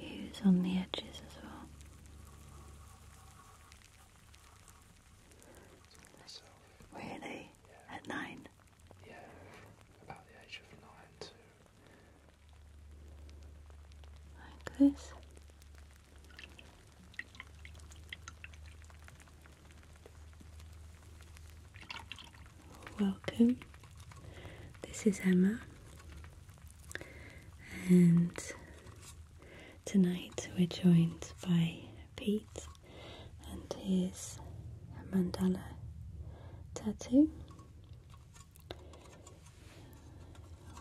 use on the edges as well. Really? At nine? Yeah, about the age of nine too. Like this. Welcome. This is Emma, and tonight we're joined by Pete and his mandala tattoo.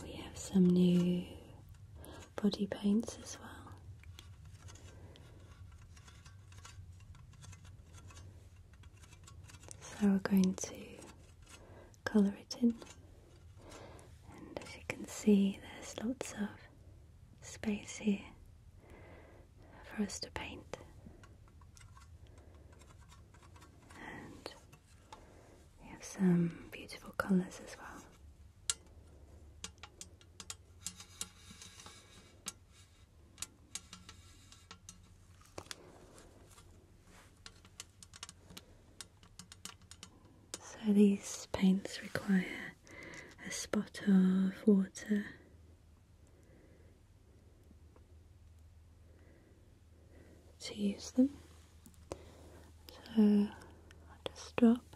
We have some new body paints as well. So we're going to colour it in, and as you can see, there's lots of space here for us to paint. And we have some beautiful colours as well. So these paints require a spot of water. to use them. So I'll just drop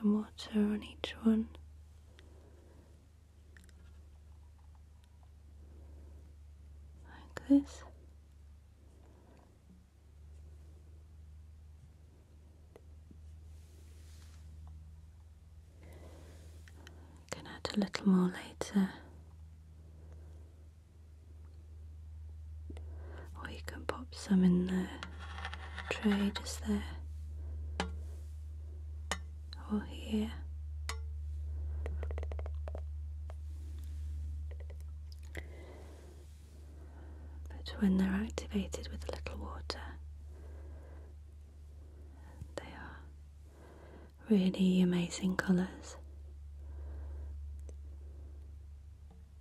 some water on each one. Like this. Can add a little more later or you can pop some in the tray just there or here. But when they're activated with a little water, they are really amazing colours.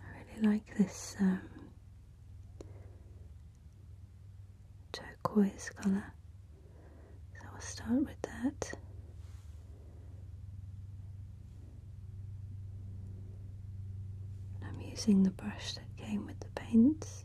I really like this um, turquoise colour, so I'll start with that. I'm using the brush that came with the paints.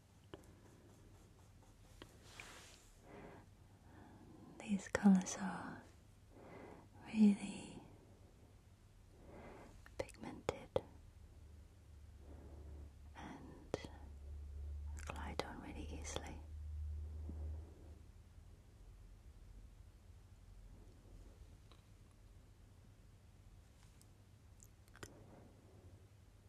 These colors are really pigmented and glide on really easily.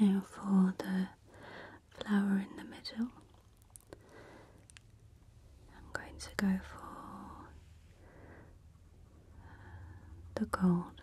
Now for the flower in the middle, I'm going to go for uh, the gold.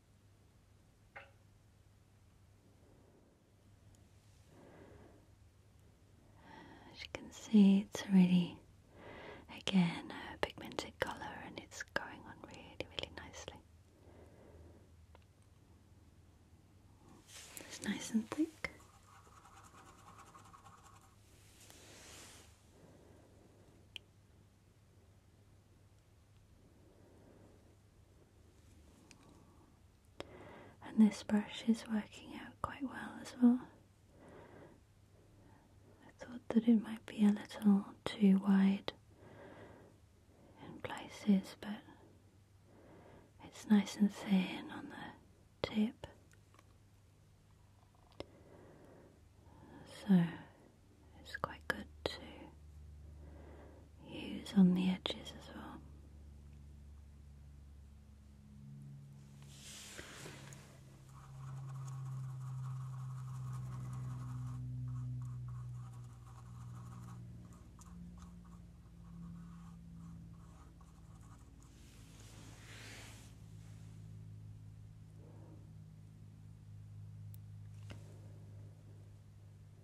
As you can see, it's really again a pigmented colour and it's going on really, really nicely. It's nice and thick. And this brush is working out quite well as well. I thought that it might be a little too wide in places, but it's nice and thin on the tip. So it's quite good to use on the edges as well.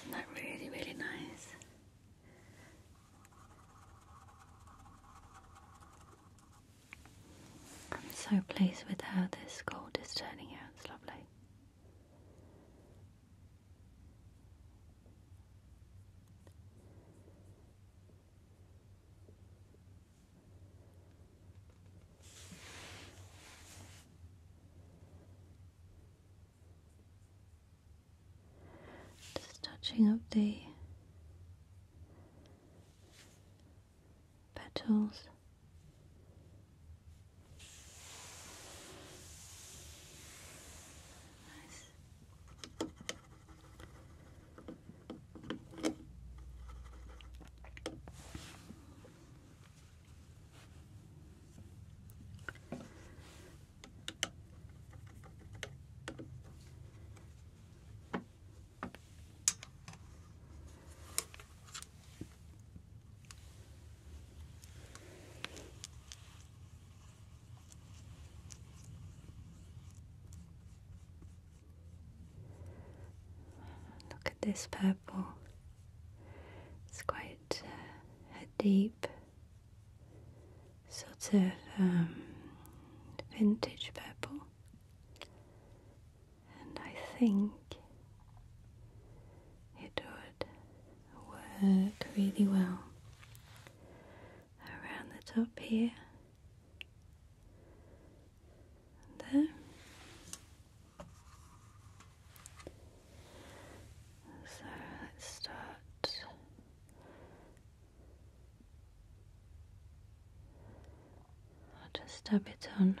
Isn't that really, really nice? I'm so pleased with how this gold is turning out, it's lovely. Just touching up the petals. Nice. Look at this purple. It's quite uh, a deep sort of um, vintage purple, and I think it would work really well around the top here. there. So let's start I'll just dab it on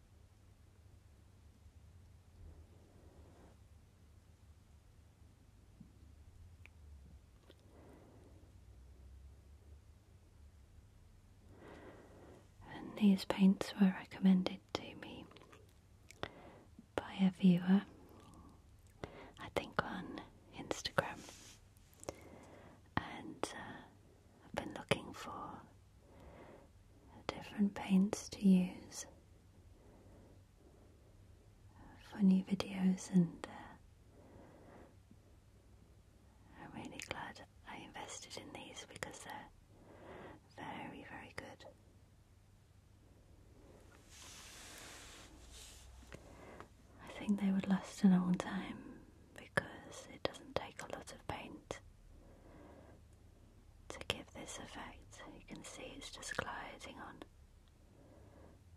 And these paints were recommended to me by a viewer, I think on Instagram, and uh, I've been looking for different paints to use for new videos and uh, I'm really glad I invested in these because they're very, very good. I think they would last a long time because it doesn't take a lot of paint to give this effect. You can see it's just gliding on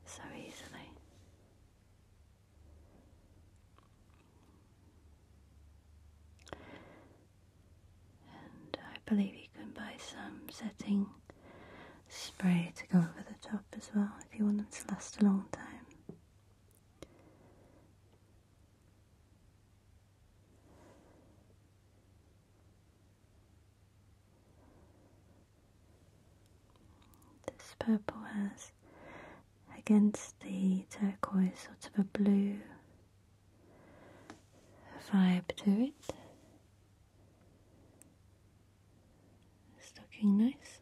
so easily. And I believe you can buy some setting spray to go over the top as well if you want them to last a long time. This purple has against the turquoise sort of a blue vibe to it. It's looking nice.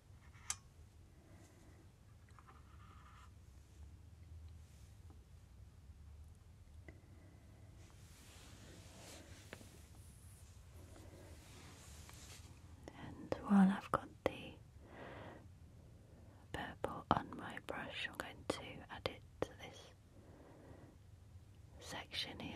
And while I've got the purple on my brush, I'm going to add it to this section here.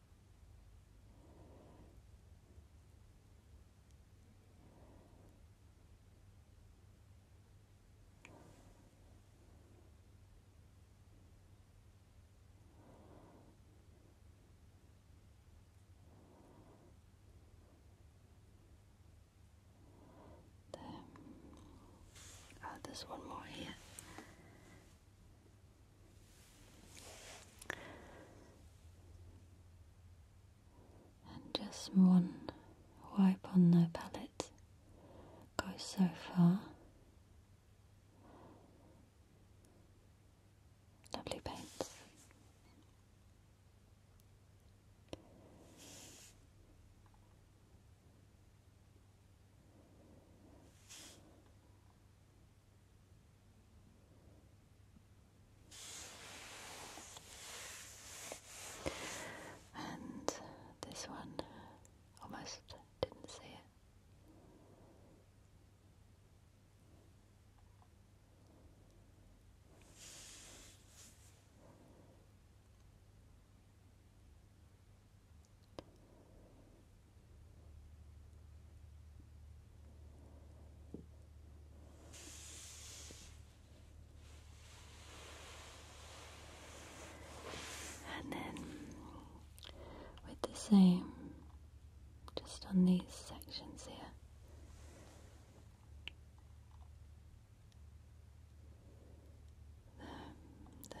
Oh, there's one more here. And just one wipe on the palette goes so far. Lovely paint. And this one almost didn't see it. And then with the same, just on these sections here. There,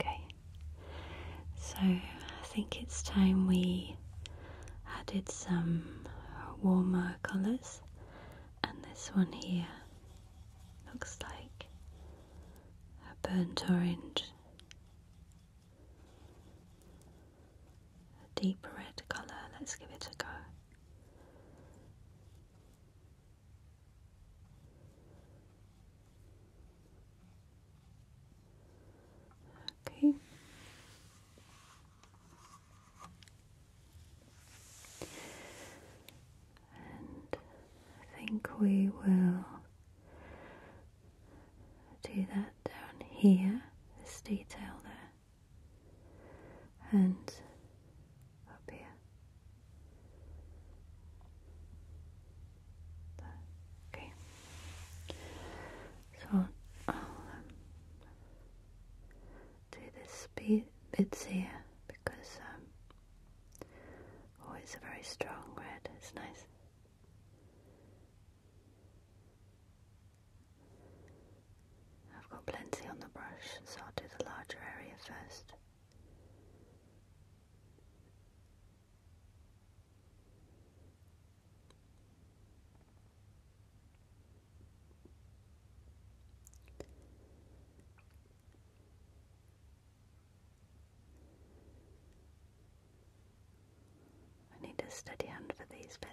Okay, so I think it's time we added some warmer colours, and this one here looks like a burnt orange a deep red colour. Let's give it a go. Okay. And I think we will do that down here, this detail there and up here. Okay. So I'll um, do this bit here because um oh, it's a very strong red. It's nice. I've got plenty on the brush, so I'll do the larger area first. I need a steady hand for these bits.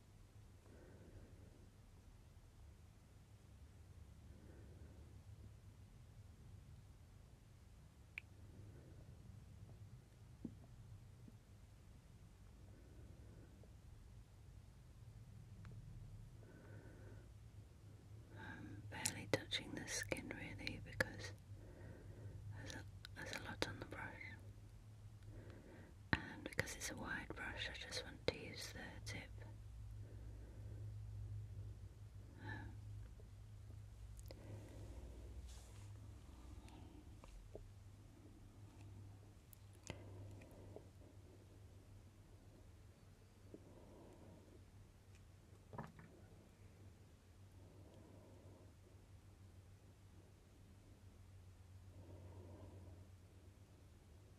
I'm barely touching the skin really because there's a, lot on the brush and because it's a wide brush I just want to use the tip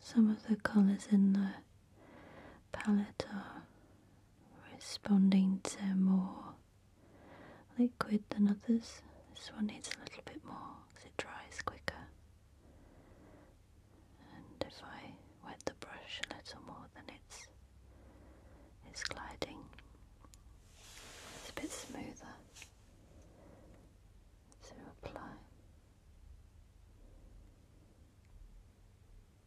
Some of the colors in the palette are responding to more liquid than others. This one needs a little bit more because it dries quicker. And if I wet the brush a little more, then it's it's gliding. It's a bit smoother So apply.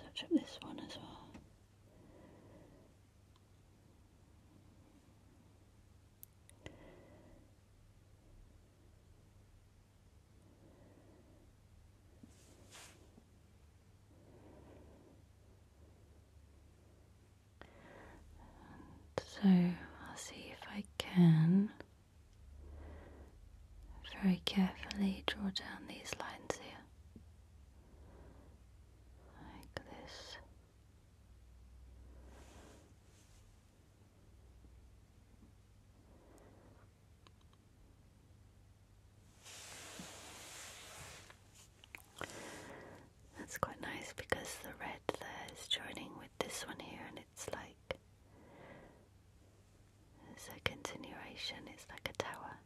I'll touch up this one as well so I'll see if I can very carefully draw down these lines here like this. That's quite nice because the red there is joining with this one here, and it's like it's a continuation, it's like a tower.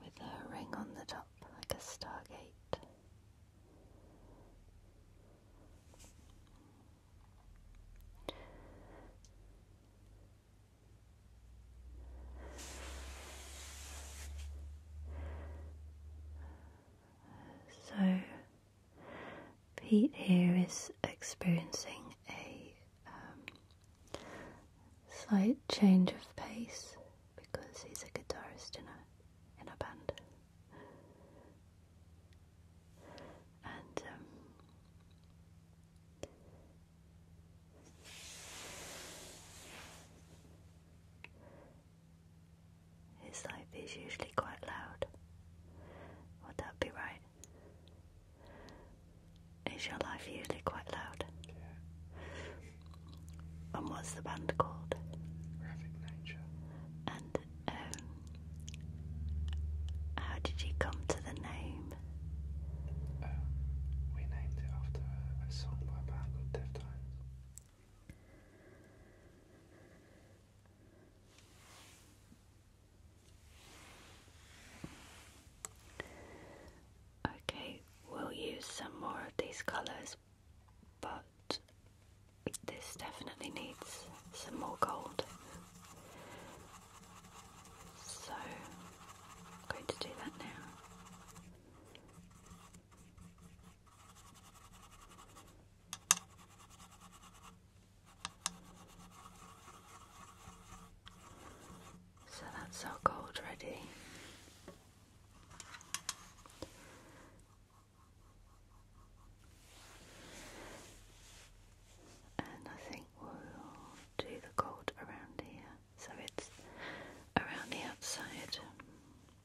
With a ring on the top, like a stargate. So, Pete here is experiencing a um, slight change of pace because he's a guitarist in a in a band, um, his life is usually quite loud. Would that be right? Is your life usually quite loud? Yeah. And what's the band called? Graphic Nature. And um, how did you come to the name? Um, we named it after a song by a band Deftones. Okay, we'll use some more of these colours, but this definitely needs some more gold. So going to do that now. So that's our gold ready. And I think we'll do the gold around here. So it's around the outside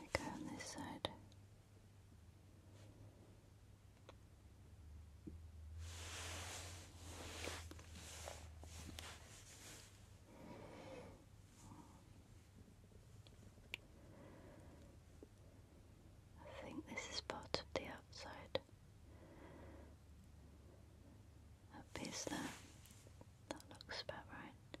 we go on this side. I think this is part of the outside. That piece there. That looks about right.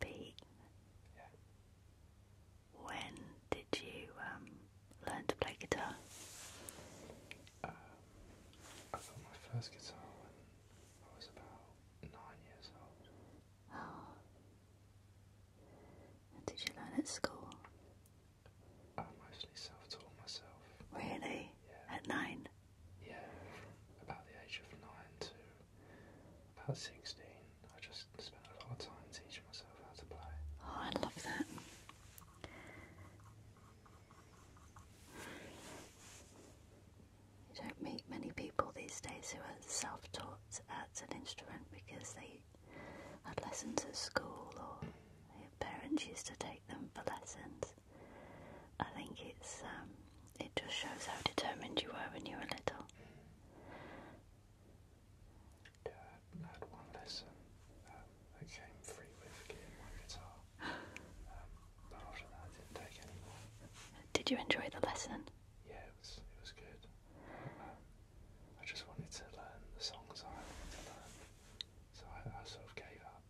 Pete. Yeah. When did you um, learn to play guitar? Uh, I got my first guitar when I was about nine years old. Oh. did you learn at school? I mostly self-taught myself. Really? Yeah. At nine? Yeah, about the age of nine to about sixteen. I just spent a lot of time teaching myself how to play. Oh, I love that. You don't meet many people these days who are self taught at an instrument because they had lessons at school or their parents used to take them for lessons. I think it's um, it just shows how determined you were when you were little. I had one lesson um, came free with getting my guitar, um, but after that I didn't take any Did you enjoy the lesson? Yeah, it was, it was good. Um, I just wanted to learn the songs I wanted to learn, so I, sort of gave up.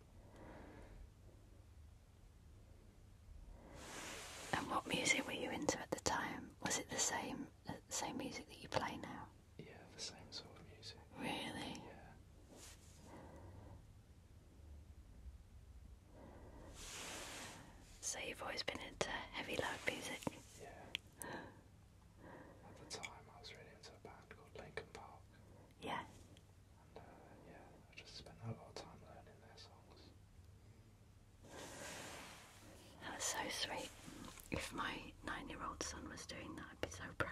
And what music were you into at the time? Was it the same, the same music that you play now? Yeah, the same sort of music. Really? Yeah. So you've always been into heavy, loud music? Yeah. At the time, I was really into a band called Linkin Park. Yeah. And uh, yeah, I just spent a lot of time learning their songs. That was so sweet. If my nine-year-old son was doing that, I'd so proud.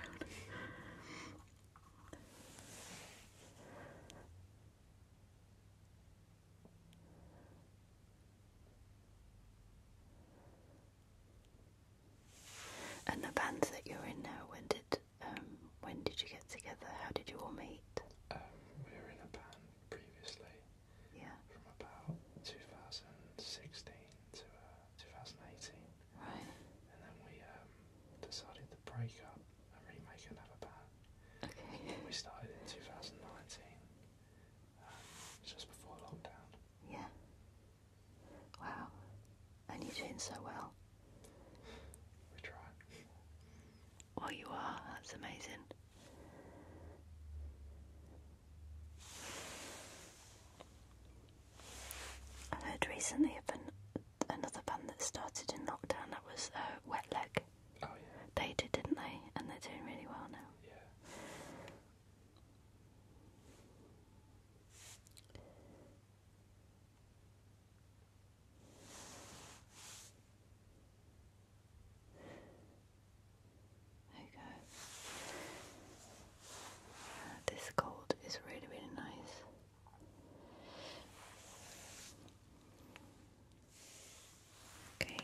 And the band that you're in now, when did um, when did you get together? How did you all meet? Um, we were in a band previously. From about 2016 to uh, 2018. And then we um, decided to break up and remake another band. We started in 2019, um, just before lockdown. Yeah. Wow. And you're doing so well. We tried. Well, you are. That's amazing. I heard recently of an, another band that started in lockdown that was uh, Wet Leg. Oh yeah. They did, didn't they? And they're doing really well now. Yeah. There uh, this gold is really, really nice. Okay.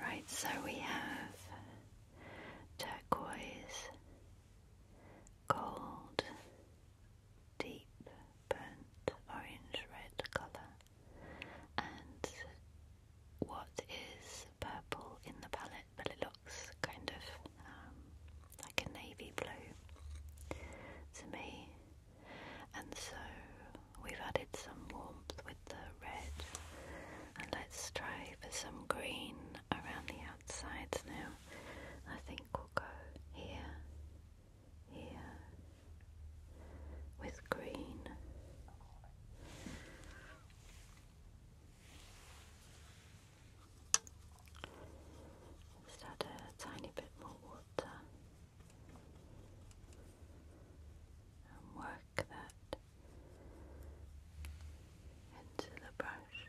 Right, so we have turquoise, gold, deep burnt orange red colour and what is purple in the palette but it looks kind of um, like a navy blue to me and so we've added some warmth with the red and let's try for some green around the outsides now I think we'll go here here with green. Just add a tiny bit more water and work that into the brush.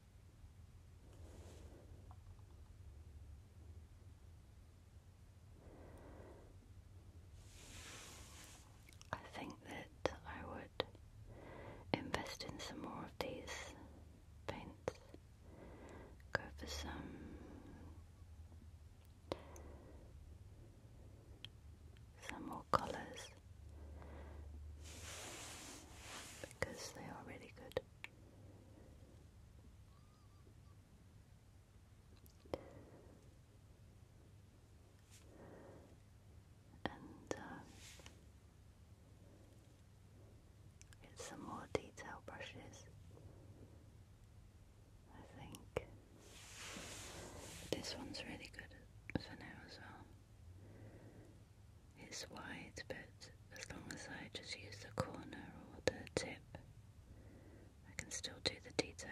I think that I would invest in some more of these paints. Go for some some more colours because they are really good. And uh, get some more detail brushes. I think this one's really good for now as well. It's wide, but as long as I just use the corner or the tip, I can still do the details.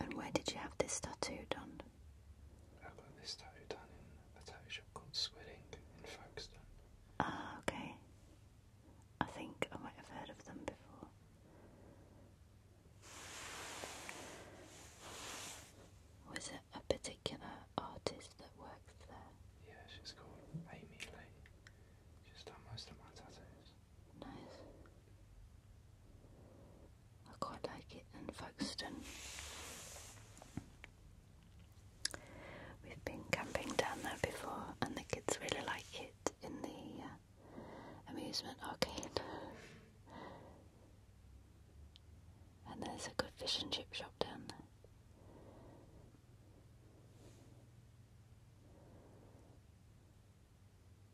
And where did you have this tattoo done? I got this tattoo done in a tattoo shop called Swilling in Folkestone. Ah, okay. I think I might have heard of them before. Was it a particular artist that worked there? Yeah, she's called Amy Lee. She's done most of my tattoos. Nice. I quite like it in Folkestone. We've been camping down there before, and the kids really like it in the uh, amusement arcade. and there's a good fish and chip shop down there.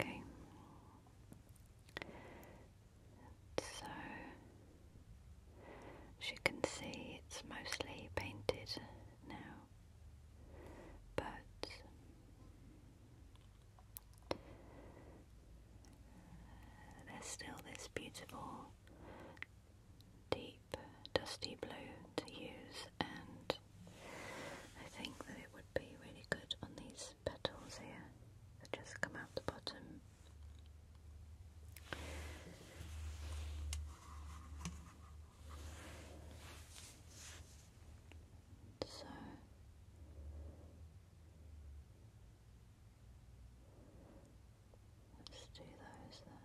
Okay. So, as you can see, it's mostly painted now, but uh, there's still this beautiful, deep, dusty blue to use, and I think that it would be really good on these petals here that just come out the bottom. So let's do those there.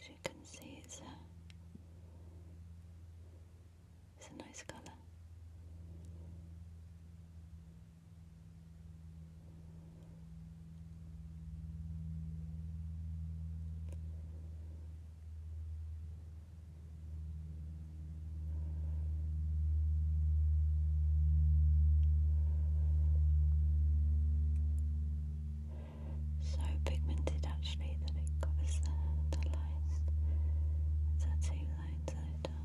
As you can see, it's a, it's a nice colour. So pigmented actually that it covers the, the lines. It's lines that it does.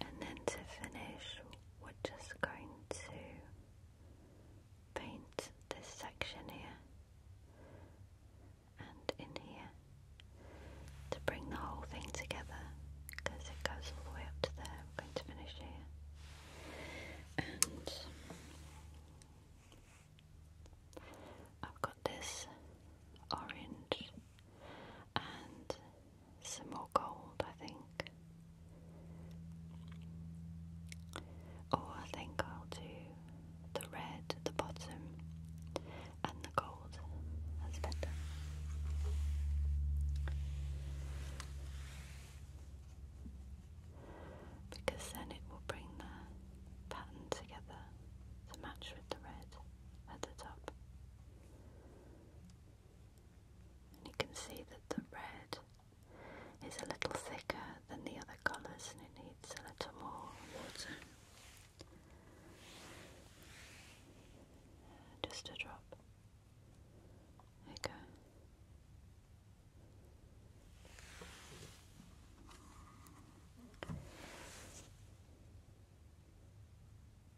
and then to finish we're just going to paint this section here and in here to bring the whole thing together because it goes all the way up to there. We're going to finish here and I've got this orange and some more gold, I think. Or oh, I think I'll do the red at the bottom and the gold. That's better. Because then it will bring the pattern together to match with the red at the top. And you can see that the red is a little thicker than the other colours and it needs a little more water. Just a drop. There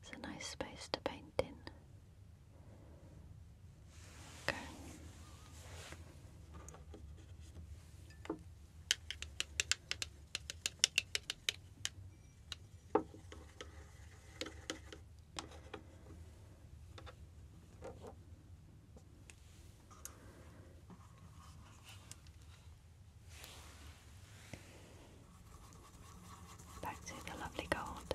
It's a nice space to paint in. Okay. Back to the lovely gold.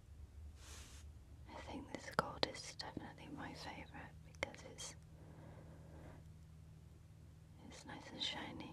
I think this gold is definitely my favorite because it's it's nice and shiny.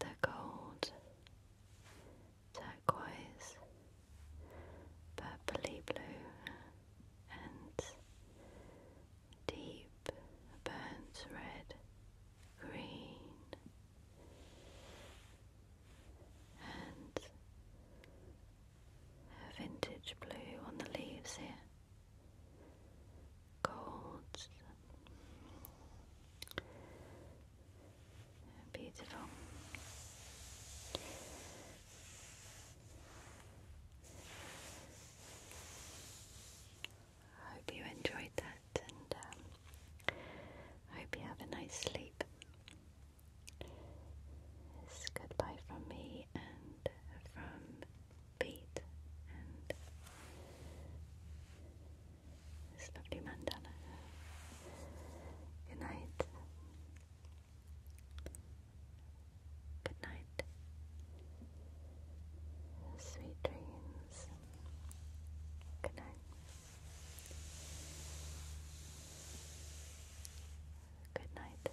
the gold, turquoise, purpley blue, and deep burnt red green, and vintage blue on the leaves here golds. Beautiful. I hope you enjoyed that and I um, hope you have a nice sleep. It's goodbye from me and from Pete and this lovely mandala. Good night. Good night. Sweet dreams. Good night. Good night.